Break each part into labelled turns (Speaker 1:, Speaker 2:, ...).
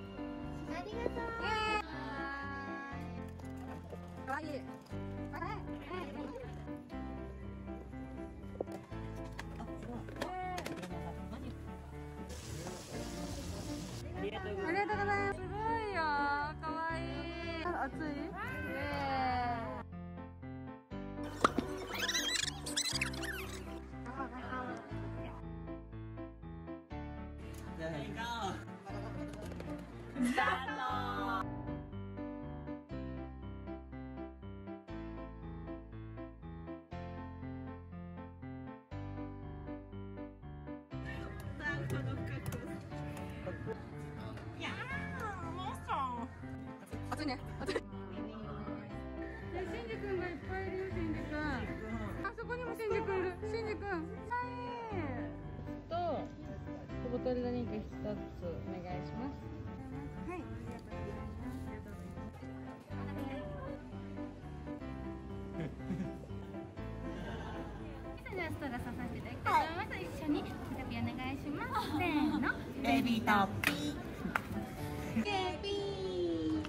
Speaker 1: ありがとうかわいいあれありがとうございます。すごいよ、かわい暑い？ねえ。じあンスくんがいっぱいいるよしんじくんそこにもしんじくんいるうんしんじくんとボトルドリ一つお願いしますはいありがとうございますありがとうございますそれでストラさせていただきたいます、一緒にタピお願いしますせーのベビータピーベビー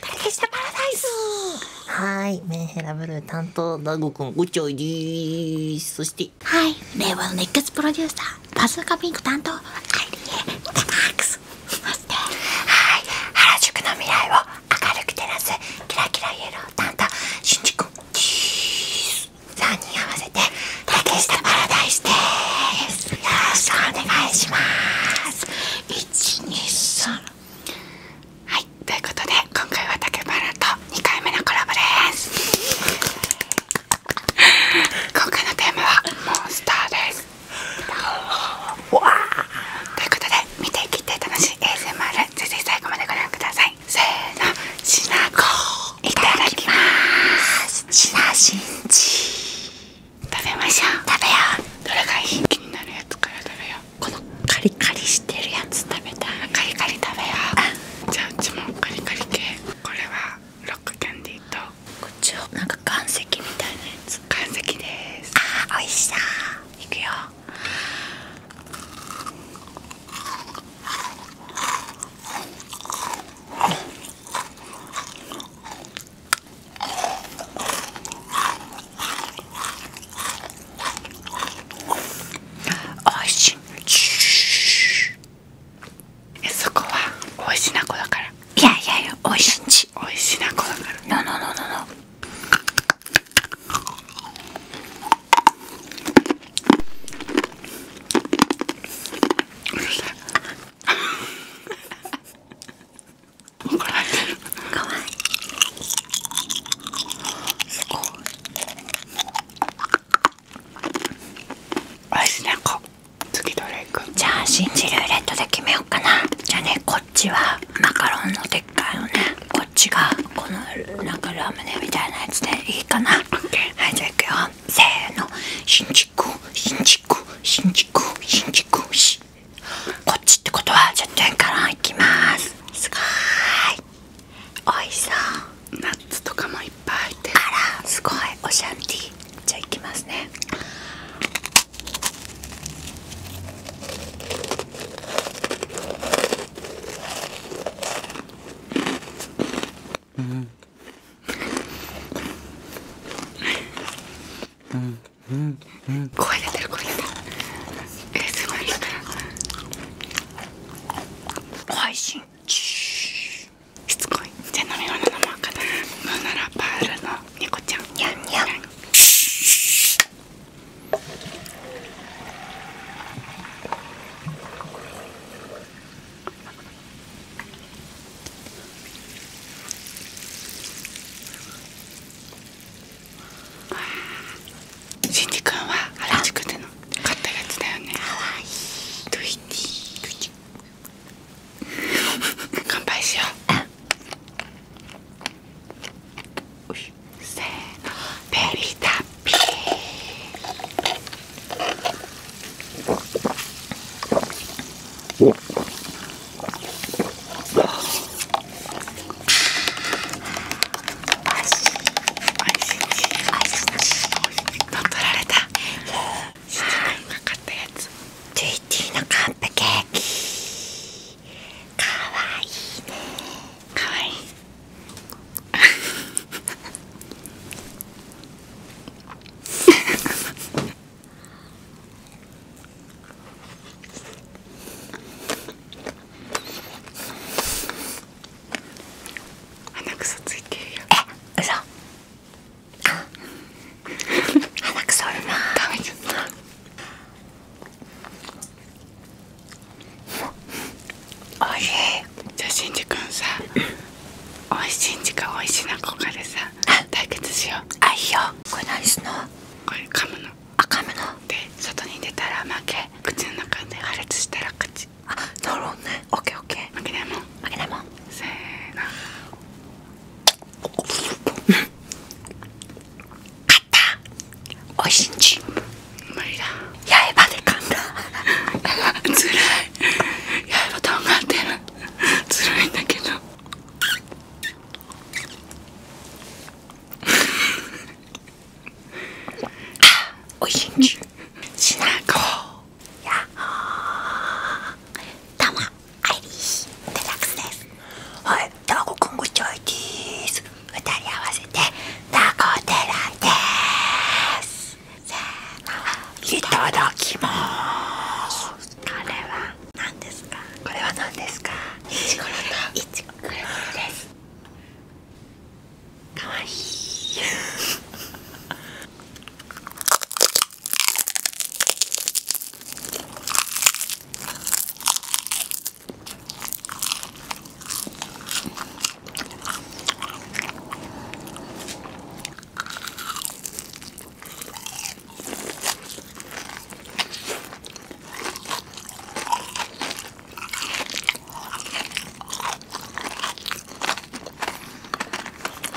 Speaker 1: 竹下パラダイスはいメンヘラブル担当ダゴくんおちょいですそして令和の熱血プロデューサーバズーカピンク担当アリエそしてはい原宿の未来を明るく照らすキラキライエロー担当しんじくん3人合わせて竹下パラダイスですよろしくお願いします123はいということで今回は竹原と2回目のコラボです 今回のテーマはモンスターですということで見ていきて楽しい ASMR 是非最後までご覧くださいせーのしなこいただきますしなしんち食べましょう食べようどれがいい気になるやつから食べようこのカリカリしてるやつ食べたい。カリカリ食べようじゃあうちもカリカリ系これはロックキャンディーとこっちをなんか岩石みたいなやつ岩石ですあおいしそういくよおいしいそこはおいしなこだからいやいやいやおいしんちおいしなこだからのののののこれ入ってるかわいいすごいおいしなこ次どれいくじゃあん。じルーレットで決めようかなじゃあねこっちはマカロンのでっかいのねこっちがこのなんかラムネみたいなやつでいいかなはいじゃあいくよせーの新宿新宿新宿新宿新宿こっちってことは10点からいきますすごーいおいしそうナッツとかもいっぱい入ってあらすごいおシャンティじゃあいきますねうんうんうんうん、声出てる声出てるえー、すごい出てる配信しつこいじゃあ飲み物飲もうかなムーナラパールの猫ちゃんにゃんにゃん。しんじくんは原宿での買ったやつだよねかわいいドゥイティ乾杯しようせーのベビータッピー乗っ取られた7年かかったやつトゥイティのカンプケーキかわいいねかわいい鼻くそついてるよえ嘘鼻くそあるな食べちゃったおいしいじゃあしんじくんさおいしんじかおいしなこかでさ対決しようあいいよこれいすんのい、れ噛むの赤目ので外に出たら負け口の中で破裂したら勝ちあなるほどねオッケーオッケー負けないもん負けないもんせーの勝ったおいしんちん。無理だ八重歯で噛んだつら い八重歯とんがってるつらいんだけどおいしいしなこやっほーどうもアイリですはいダーコくんちょいです二人合わせてダーコデラですせーいただきますこれは何ですかこれは何ですかいちごのいちごこれですかわいい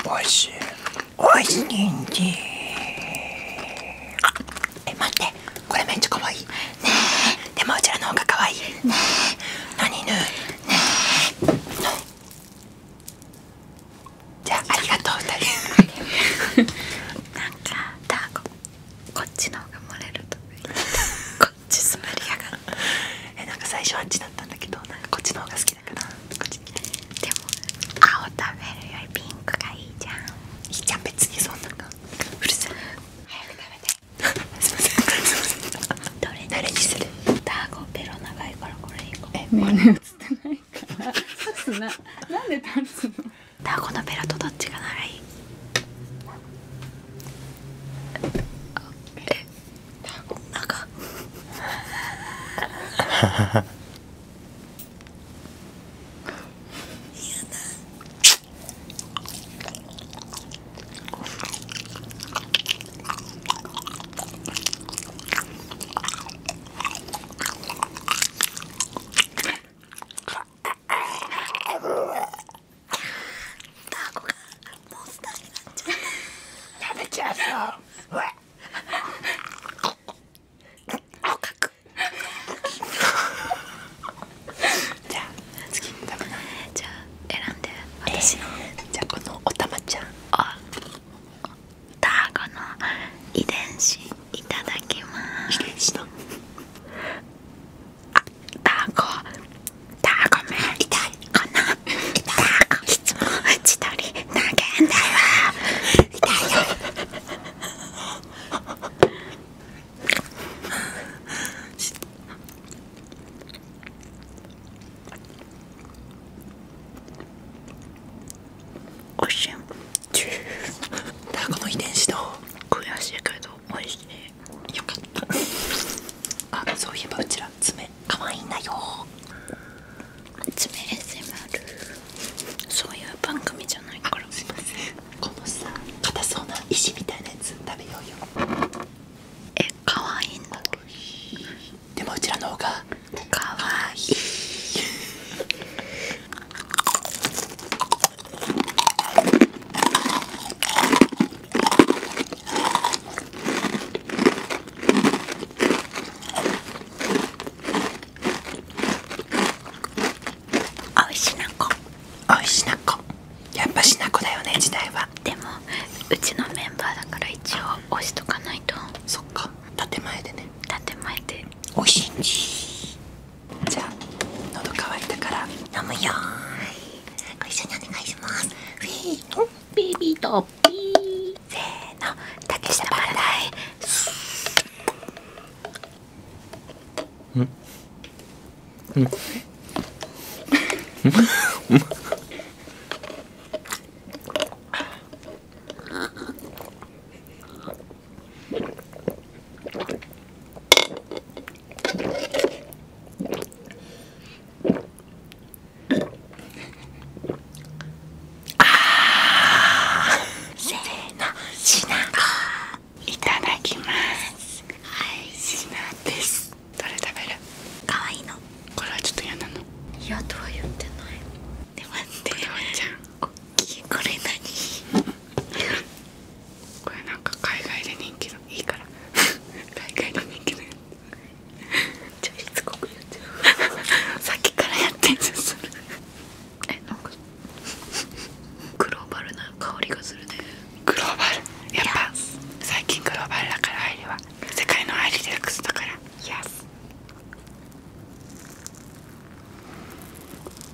Speaker 1: おいしいおいしいんじえ待ってこれめっちゃかわいねでもうちらの方がかわいいねえ何ねじゃあありがとう二人 なんかダー子こっちの方が漏れるとこっち座りやが えなんか最初あっちだったんだけどこっちの方が好きだからでも青食べるよりピンクがいいじゃんじゃん別にそんなのうるさい早く食べて すどれにするダーゴベロ長いからこれ なんで立つのだからこのベラとどっちがなんか嫌タコがモンスターになっちゃった食べちゃうぞじゃあ選んで私の、えー、じゃあこのおたまちゃんあタコの遺伝子いただきますあタコタコめ痛いこのタコいつも一人投げんだよ痛いよおしいタコの遺伝子と悔しいけど美いしいよかったあそういえばうちら爪かわいいんだよ爪 SMR そういう番組じゃないからすいませんこのさ硬そうな石みたいなやつ食べようよえかわいいんだでもうちらの方がかわいい おいしなこおいしなこやっぱしなこだよね時代はでもうちのメンバーだから一応押しとかないとそっか建前でね建前でおいしんじじゃあ喉乾いたから飲むよご一緒にお願いしますせーのベーとピーせーの竹下パラダイあーせーのしないただきますはいしなですどれ食べるかわいいのこれはちょっと嫌なのいやとは言ってないで待ってちゃんおきいこれ何これなんか海外で人気のいいから海外で人気のやつちょしつこくやっちゃさっきからやってんじゃんそれえなんかグローバルな香りがするねグローバルやっぱ最近グローバルだからアイリは世界のアイリデラックスだから Yes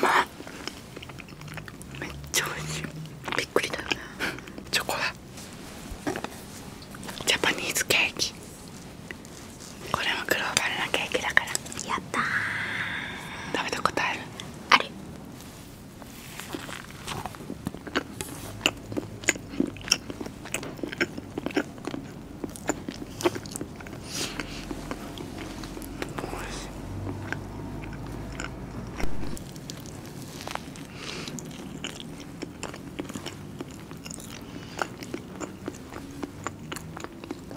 Speaker 1: まっめっちゃ美味しいびっくりだよねチョコだジャパニーズケーキこれもグローバルなケーキだからやった食べたことあるある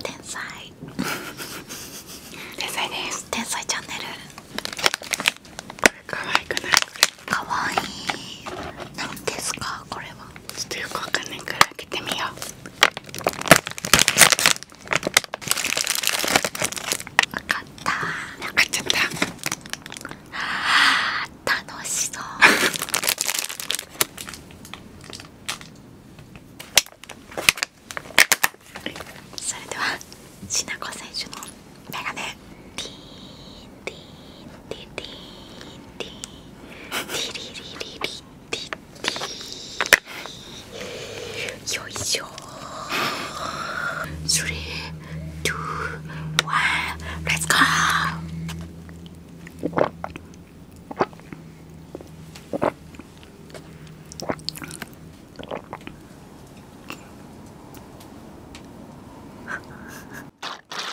Speaker 1: 天才 天才です天才チャンネル可愛くないかわいい何ですかこれはちょっとよくわかんないから開てみようわかったわあ楽しそう それではしなこ選手のメガネティーティーティーティーティーティリリリリティティよいしょスリーツーワンレッツゴ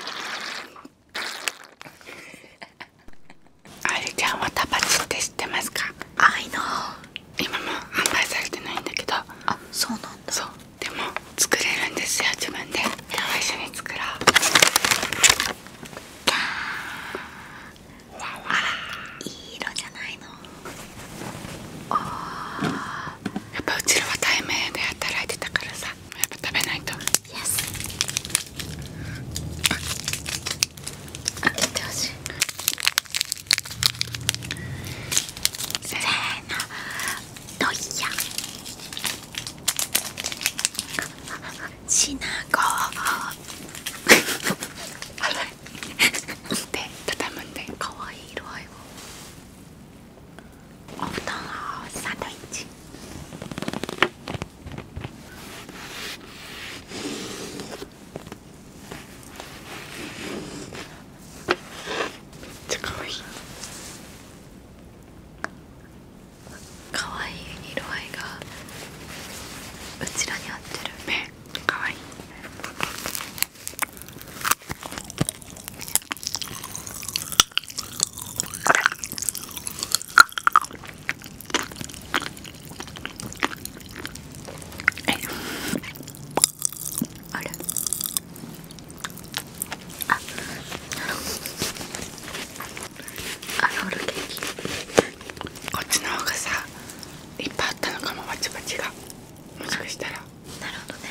Speaker 1: ーあゆちゃんはタバチって知ってますかあいの今も販売されてないんだけどあそうなんだそうでも作れるんですよ自分で今日は一緒に作ろうわわいい色じゃないのあやっぱうちらは対面で働いてたからさやっぱ食べないと Yes あ、見てほしいせーのロイヤシナゴで、畳むんで可愛い色合いをお布団をサンドイッチめっちゃかわいいかわいい色合いがうちらに合ってるねかわいいあれああロールケーキこっちの方がさいっぱいあったのかもバチバチがもしかしたらなるほどね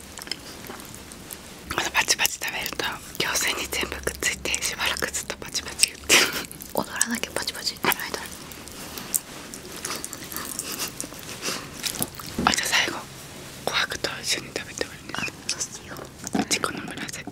Speaker 1: まのパチパチ食べると矯正に全部くっついてしばらくずっとパチパチ言って踊らなきゃパチパチってないだあじゃあ最後琥珀と一緒に食べてもいいですかうちこの紫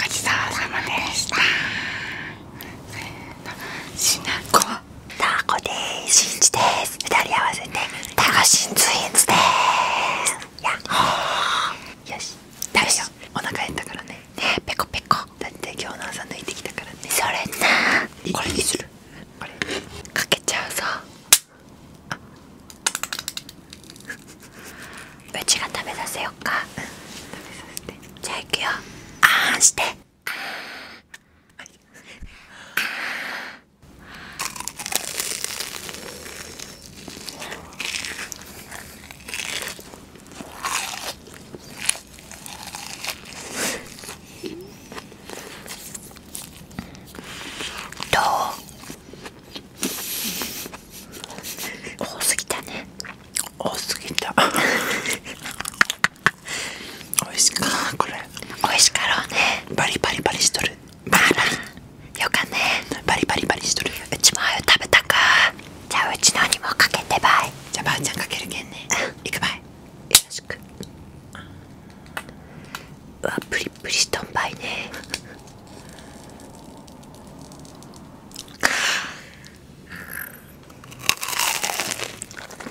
Speaker 1: ごちそうさまでした。タコでしんちです二人合わせてタコシンツインズでやっほよし食べよお腹減ったからねねえペコだって今日の朝抜いてきたからねそれなこれにするこれかけちゃうぞあうちが食べさせよっか、じゃあいくよあーしてどう多すぎたね多すぎたおいしかこれおいしかろうねバリバリバリしとるバリバよかねバリバリバリしとるうちもあゆ食べたかじゃあうちのにもかけてばいじゃあばあちゃんかけるけんねいくばいよろしくうわプリプリしとんばいねう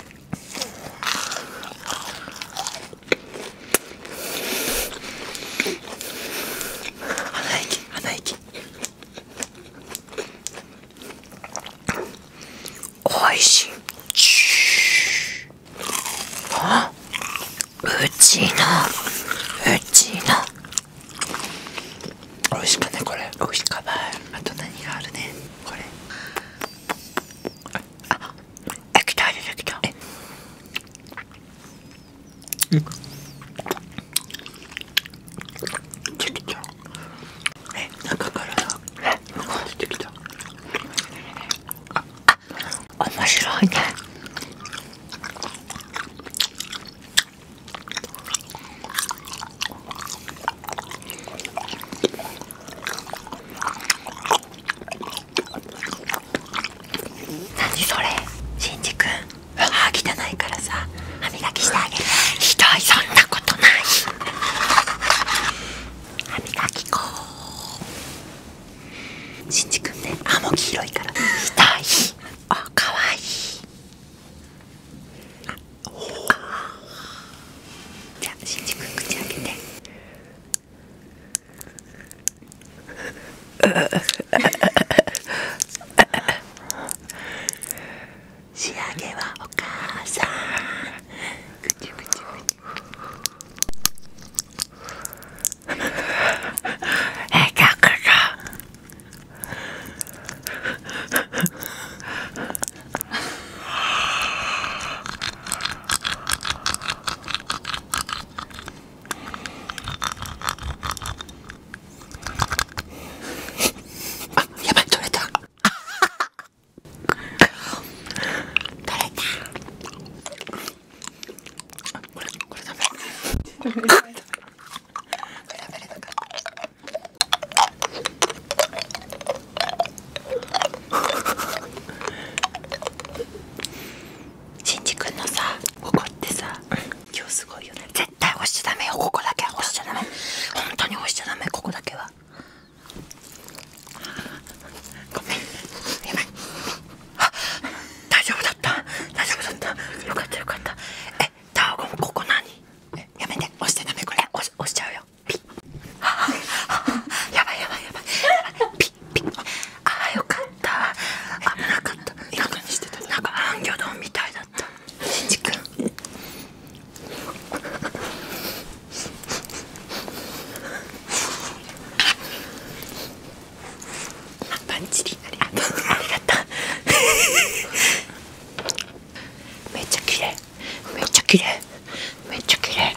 Speaker 1: 鼻息鼻息おいしあうちのうちのおいしかねこれおいしかないあと何があるねこれあ液体出てきたうんちょっとちょえ中からさ向こう出てきたあっ面白いね何それしんじくん歯汚いからさ歯磨きしてあげるひどいそんなことない歯磨きこうしんじくんね歯も黄色いからひどいあかわいいあおじゃあしんじくん口開けて仕上げはお母さんあやばい取れた取れたこれこれ食べれたこれ食しんじ君のさこってさ今日すごいよね絶対押しちゃダメよここだけは押しちゃダメ本当に押しちゃダメここだけはごめんやばい大丈夫だった大丈夫だったよかったよかったえタオゴここ何やめて押してダメこれ押しちゃうよピ ッやばいやばいやばいやばいピッああよかった危なかったなんかして魚丼みたいだったしんじくんパンチリありがとうありがとうめっちゃ綺麗めっちゃ綺麗めっちゃ綺麗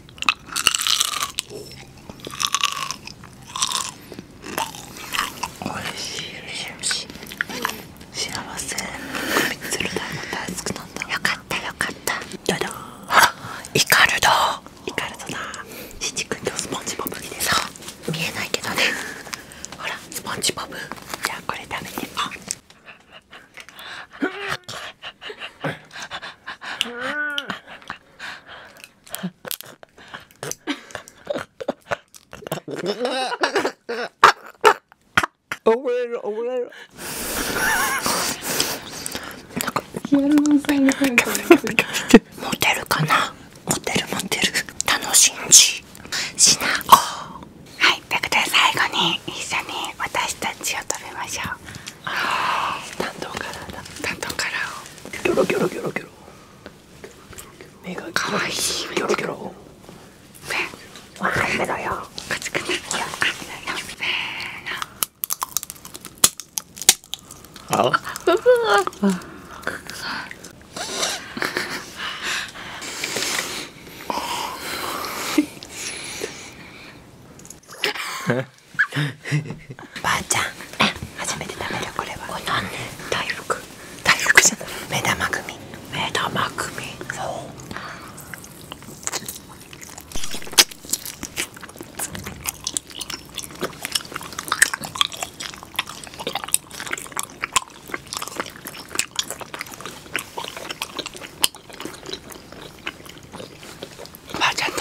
Speaker 1: おいしいおいしい幸せみつるだいも大好きなんだよかったよかったどどイカルドイカルドな。しちくん今日スポンジボブ着てさ見えないけどねほらスポンジボブじゃあこれ食べてあ 怒らる怒らるってモテるかなモテるモテる楽しんじしなはいということ後に一緒に私たちを食べましょうああ担当カっ ばあちゃん初めて食べるこれはこれ何ね大福大福じゃない目玉組目玉組そうばあちゃんと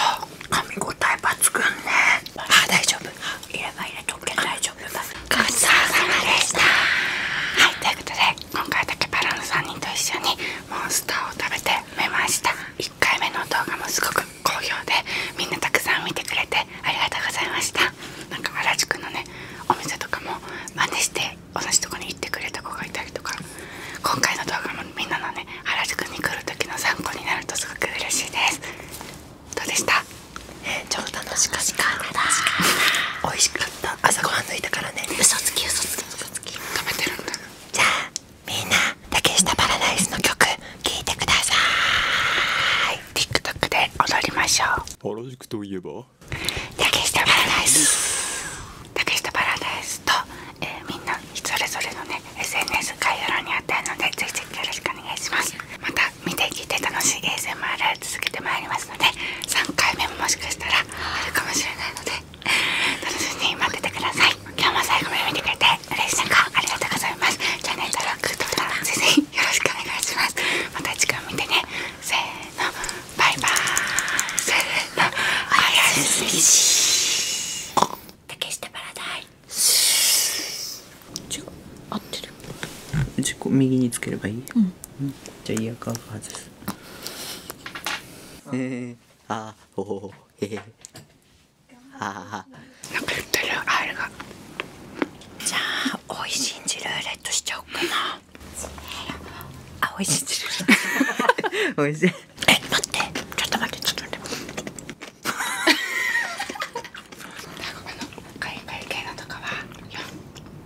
Speaker 1: 噛み応え抜群ねああ大丈夫入れば入れとけ大丈夫だごちそうさまでしたはいということで今回だけバラの3人と一緒にモンスターを食べてみました1回目の動画もすごく好評でみんなたくさん見てくれてありがとうございましたなんか原宿のねお店とかも真似して同じとこに行ってくれた子がいたりとか今回の動画もみんなのね原宿に来る時の参考になるとすごく嬉しいですどうでしたえー、超楽しかった美味しか朝ごはん抜いたからね嘘つき嘘つき嘘つき食べてるんだじゃあみんな竹下パラダイスの曲聴いてください TikTok で踊りましょうと竹下パラダイス竹下パラダイスと、えー、みんなそれぞれのね SNS 概要欄にあってるのでぜひぜひよろしくお願いしますまた見て聞いて楽しい a s m あを続けてまいりますので3回目ももしかしたらあるかもしれないので楽しみに待っててください今日も最後まで見てくれて嬉しい中ありがとうございますチャンネル登録とかぜひよろしくお願いしますまた次回見てねせーのバイバーイせーのおやすみしー竹下ラダイ違う合ってるじこ右につければいい、じゃあイヤカー外すえー、あおおえー、あなんか言ってるあれがじゃあおいしんじレットしちゃおうかな あお いしんじルーレいしえ待ってちょっと待ってちょっと待ってカリカリ系のとかは4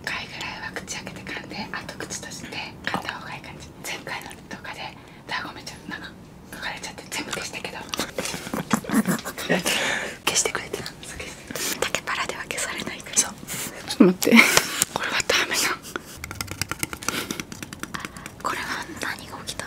Speaker 1: 回ぐらいは口開けて噛んであ口閉じて噛んだ方がいい感じ前回の動画でダーゴちゃなんか書かれちゃって全部消したけど消してくれてた竹パでは消されないからちょっと待ってこれはダメなこれは何が起きた